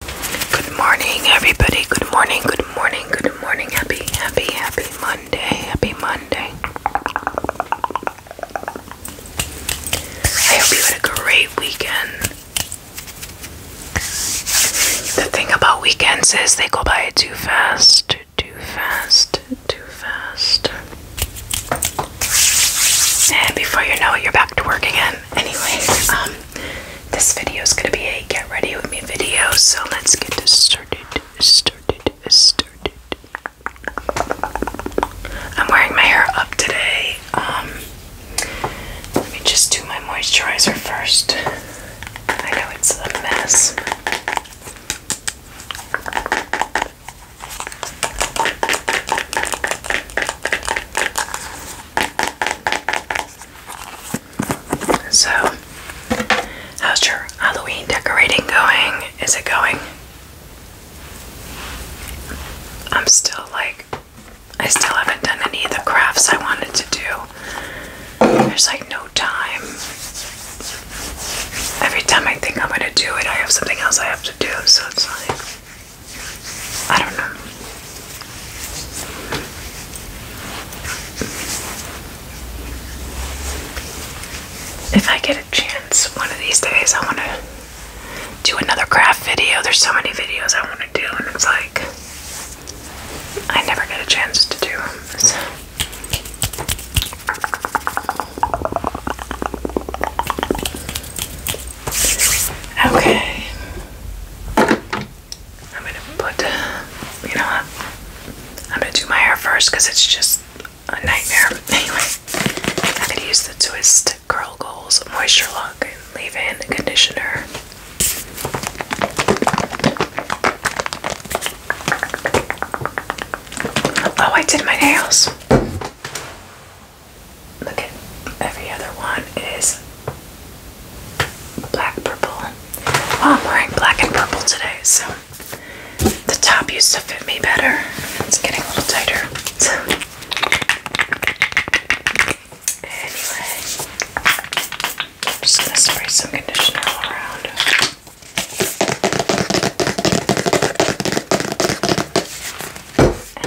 Good morning, everybody. Good morning, good morning, good morning. Happy, happy, happy Monday. Happy Monday. I hope you had a great weekend. The thing about weekends is they go by too fast, too fast, too fast. And before you know it, you're back to work again. Anyways. Um, this video is going to be a get ready with me video, so let's get started. Started, started. I'm wearing my hair up today. Um, let me just do my moisturizer first. I know it's a mess. So, how's your Halloween decorating going? Is it going? I'm still like, I still haven't done any of the crafts I wanted to do. There's like no time. Every time I think I'm gonna do it, I have something else I have to do, so it's like. I don't know. If I get a chance one of these days, I want to do another craft video. There's so many videos I want to do, and it's like I never get a chance to do them. Okay. I'm gonna put, you know what? I'm gonna do my hair first because it's just a nightmare. Anyway, I'm gonna use the Twist Curl Goals Moisture Lock Leave In Conditioner. Oh, I did my nails. Look at every other one is black purple. I'm wearing black and purple today, so the top used to fit me better. It's getting a little tighter. anyway, just gonna spray some conditioner all around.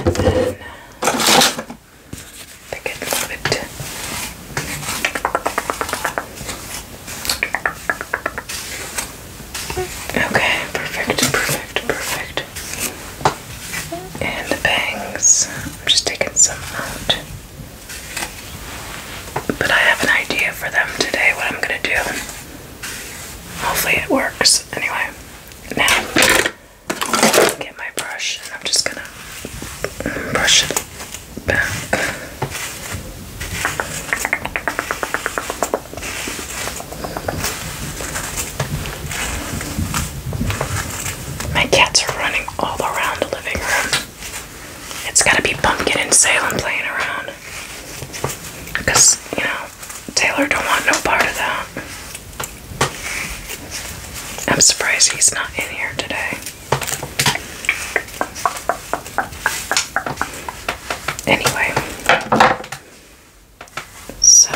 And then they get a bit. Okay, perfect, perfect, perfect. And the bangs. I'm just taking some out. But I have an idea for them today, what I'm gonna do. Hopefully it works. Anyway, now get my brush and I'm just gonna brush it back. My cats are running all around the living room. It's gotta be Pumpkin and Salem playing around. Because, you know, Taylor don't want no part of that. I'm surprised he's not in here today. Anyway, so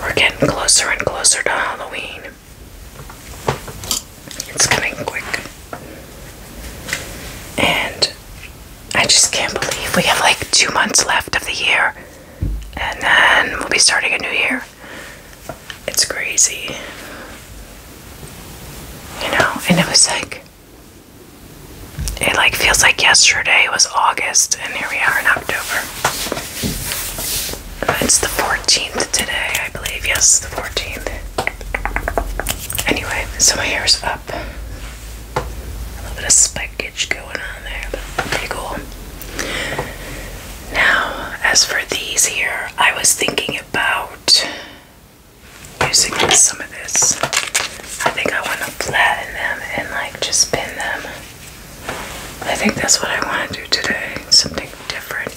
we're getting closer and closer to Halloween. It's coming quick. And I just can't believe we have like two months left of the year, and then we'll be starting a new year. It's crazy. You know, and it was like, it like feels like yesterday was August, and here we are in October. It's the 14th today, I believe. Yes, the 14th. Anyway, so my hair's up a little bit of spikage going on there, but pretty cool. Now, as for these here, I was thinking about using some of this. I think I want to flatten them and like just pin them. I think that's what I want to do today. Something different.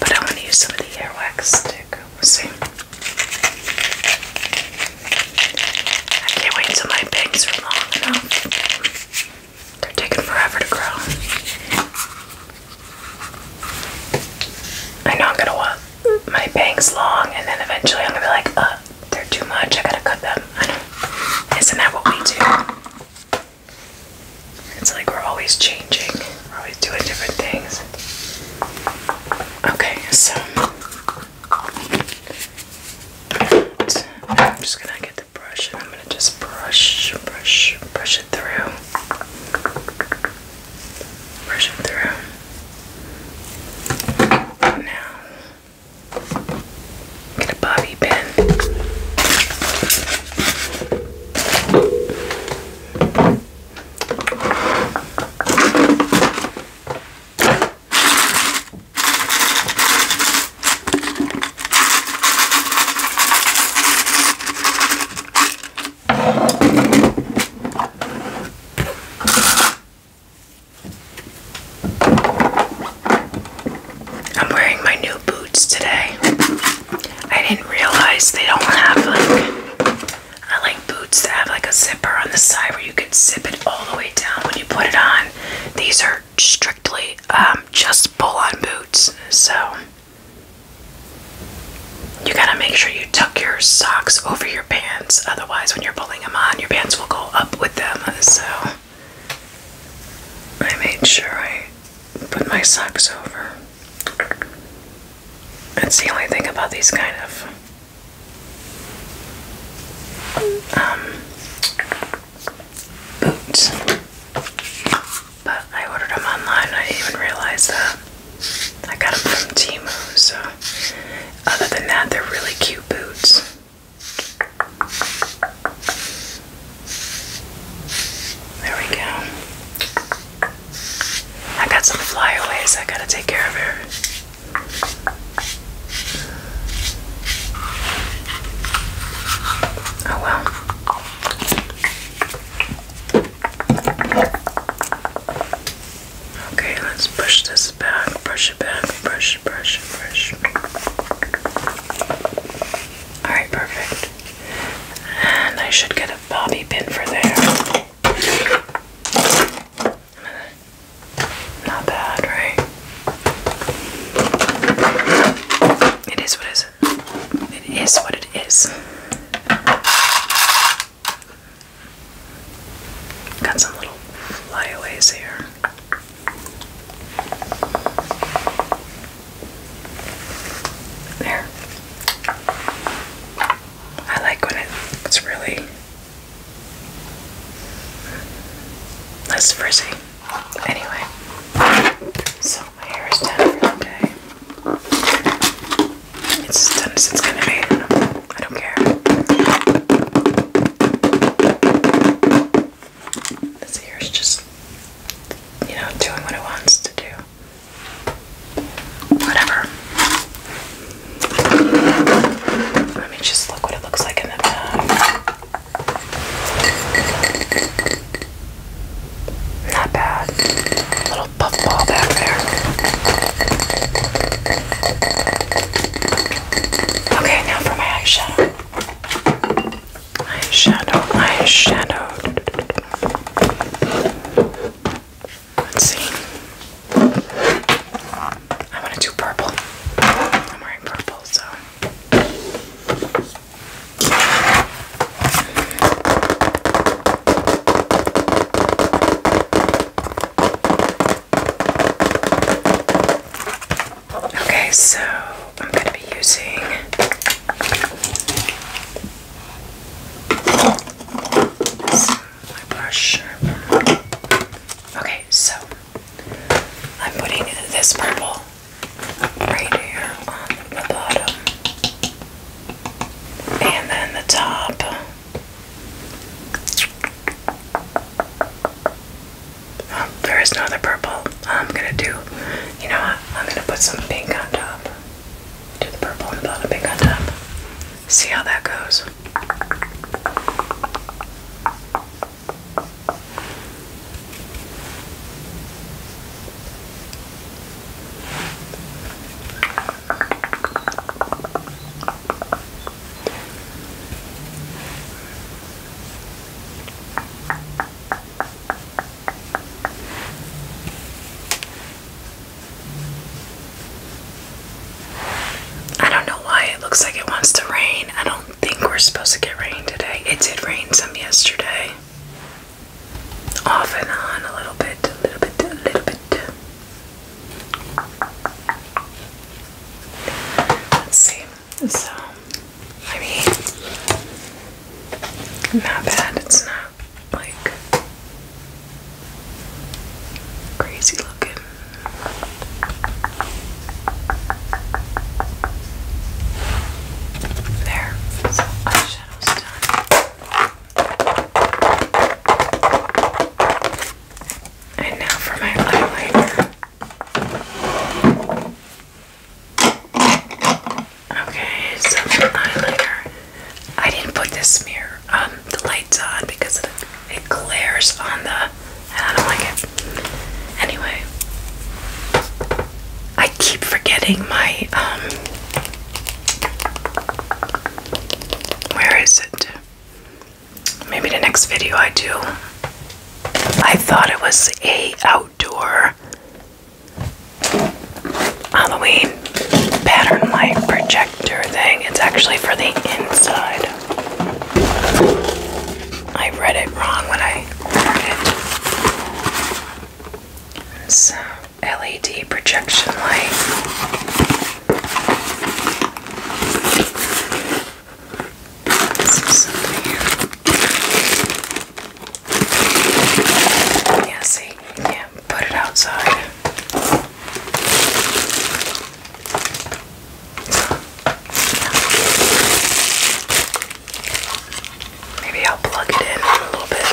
But I want to use some of the earwax stick. We'll see. I can't wait until my bangs are long enough. They're taking forever to grow. I know I'm gonna want my bangs long, and then eventually I'm gonna be like, uh, they're too much. I gotta cut them. I know. Isn't that what we do? It's like we're always changing. We're always doing different things. Okay, so I'm just gonna get the brush and I'm gonna just brush, brush, brush it through. Brush it through. Now, get a bobby pin. I'm wearing my new boots today. I didn't realize they don't have like I like boots that have like a zipper on the side where you can zip it all the way down when you put it on. These are strictly um, just pull-on boots, so you gotta make sure you tuck your socks over your pants. Otherwise, when you're pulling them on, your pants will go up with them. So I made sure I put my socks over. That's the only thing about these kind of um, boots. But I ordered them online. I didn't even realize that. I got them from Timu. So, other than that, they're really cute boots. There we go. I got some flyaways I gotta take care of her. Oh well. Okay, let's push this back, brush it back, brush, brush, brush. Alright, perfect. And I should get a bobby pin for there. Not bad, right? It is what is it? It is what it is. Got some little flyaways here. There. I like when it's really less frizzy. Anyway, so my hair is done for the day. It's done it's kind of eight. I don't care. This hair is just, you know, doing what it wants to do. Whatever. Let me just look what it looks like in the bag. Not bad. Little puffball back there. Okay, now for my eyeshadow. Eyeshadow, eyeshadow. Let's see. I want to do purple. I'm wearing purple, so. Okay, so I'm going to be using Okay, so I'm putting this purple right here on the bottom, and then the top. Oh, there is no other purple. I'm gonna do, you know what? I'm gonna put some pink on top. Do the purple and the bottom, pink on top. See how that goes. I don't know why it looks like it wants to rain. I don't think we're supposed to get rain today. It did rain some yesterday. Off and on a little bit, a little bit, a little bit. Let's see. So, I mean, not bad, it's not like crazy looking. There, so done. And now for my eyeliner. Okay, so eyeliner. I didn't put this mirror, um, the lights on because it glares on the, and I don't like it. Anyway, I keep forgetting my, um, where is it? Maybe the next video I do. I thought it was a outdoor Halloween pattern light projector thing. It's actually for the inside. I read it wrong when I ordered it. LED projection light. Yeah, see, yeah, put it outside. Maybe I'll plug it in a little bit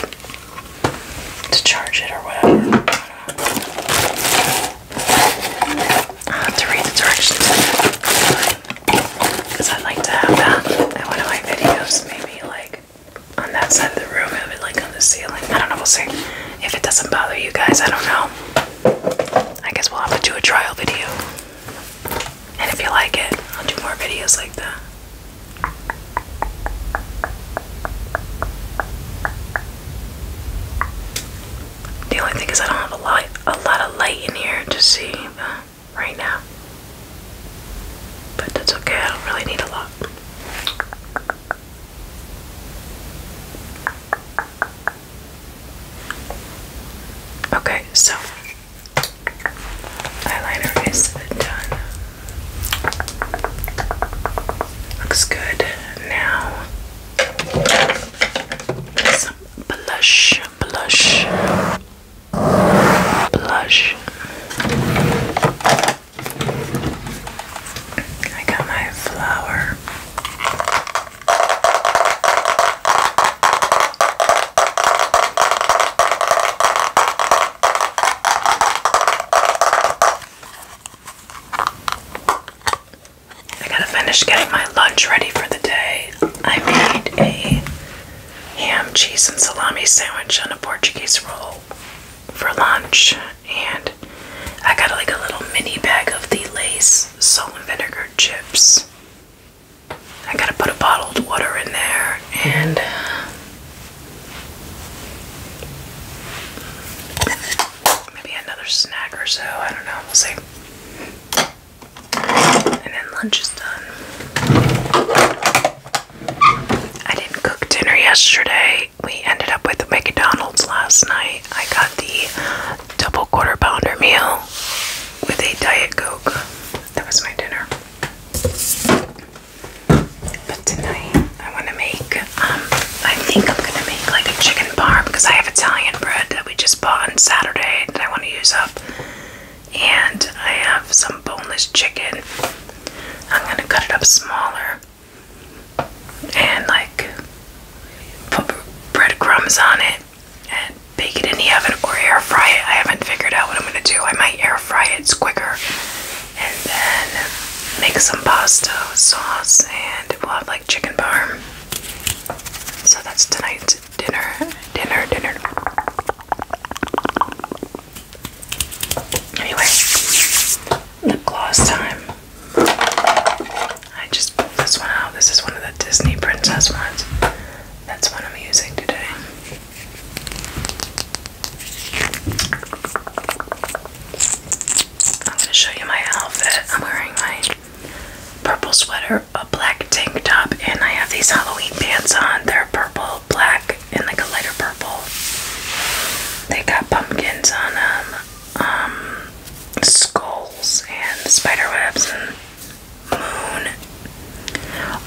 to charge it or whatever. I have to read the directions because I like to have that in one of my videos, maybe like on that side of the room, it like on the ceiling. I don't know, we'll see. If it doesn't bother you guys, I don't know. I guess we'll have to do a trial video. And if you like it, I'll do more videos like that. The only thing is I don't have a lot, a lot of light in here to see right now. But that's okay, I don't really need a lot. Okay, so eyeliner is done. Looks good. Now some blush, blush blush. I got my flower. I gotta finish getting my lunch ready for the day. I made a ham, cheese, and salami sandwich on a Portuguese roll for lunch. And I got like a little mini bag of the Lace salt and vinegar chips. I gotta put a bottled water in there and maybe another snack or so. I don't know. We'll see. And then lunch is done. I didn't cook dinner yesterday. We ended up with McDonald's last night. I got the double quarter pounder meal with a Diet Coke. That was my dinner. But tonight I want to make, um, I think I'm going to make like a chicken parm because I have Italian bread that we just bought on Saturday that I want to use up and I have some boneless chicken. I'm gonna cut it up smaller and like put breadcrumbs on it and bake it in the oven or air fry it. I haven't figured out what I'm gonna do. I might air fry it, it's quicker, and then make some pasta sauce and we'll have like chicken parm. So that's tonight's dinner. Dinner, dinner. Anyway, lip gloss time. I just pulled this one out. This is one of the Disney princess ones. That's what I'm using today. I'm going to show you my outfit. I'm wearing my purple sweater, a black tank top, and I have these Halloween pants on. They're purple black, and like a lighter purple. They got pumpkins on them, um, skulls, and spider webs, and moon.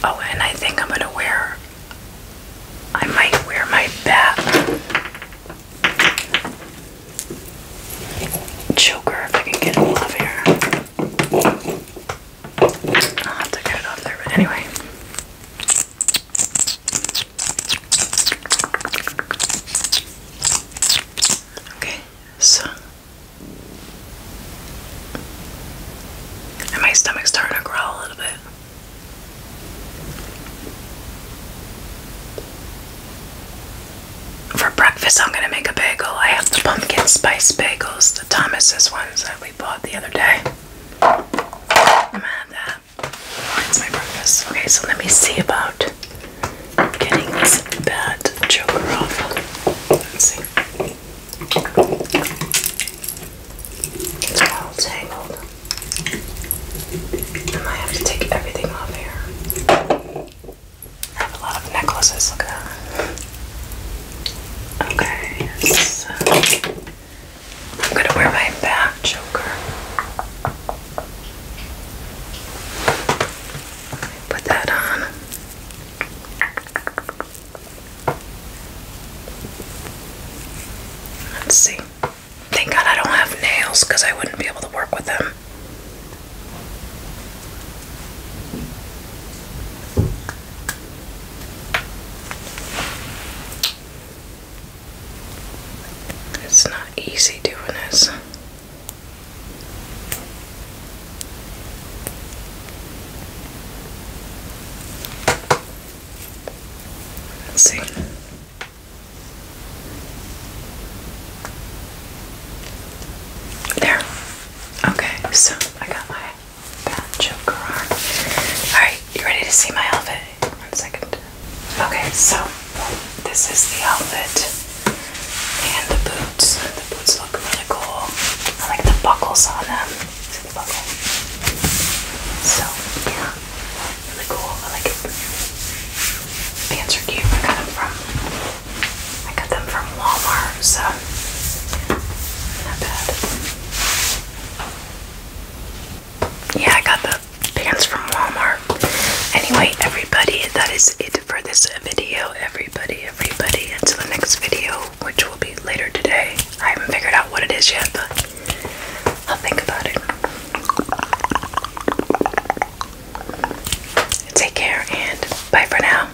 Oh, and I think I'm gonna wear. I might wear my bat choker if I can get it off here. I'll have to get it off there, but anyway. Okay, so my stomach's starting to growl a little bit. For breakfast, I'm gonna make a bagel. I have the pumpkin spice bagels, the Thomas's ones that we bought the other day. I'm gonna have that. That's my breakfast. Okay, so let me see about getting this bad joker off. Let's see. It's all tangled. I might have to take everything off here. I have a lot of necklaces, look at that. Okay, I'm gonna wear my back choker. Put that on. Let's see. Thank God I don't have nails I wouldn't be able to work with them. It's not easy doing this. see. There. Okay, so I got my Pancho Carrara. Alright, you ready to see my outfit? One second. Okay, so this is the outfit and the boots. The boots look really cool. I like the buckles on them. See the buckle? So, yeah, really cool. I like it. Pants are cute. I got them from I got them from Walmart so not bad. Yeah, I got the pants from Walmart. Anyway, everybody, that is it for this video. Everybody, everybody, until the next video, which will be later today. I haven't figured out what it is yet, but I'll think about it. Take care and bye for now.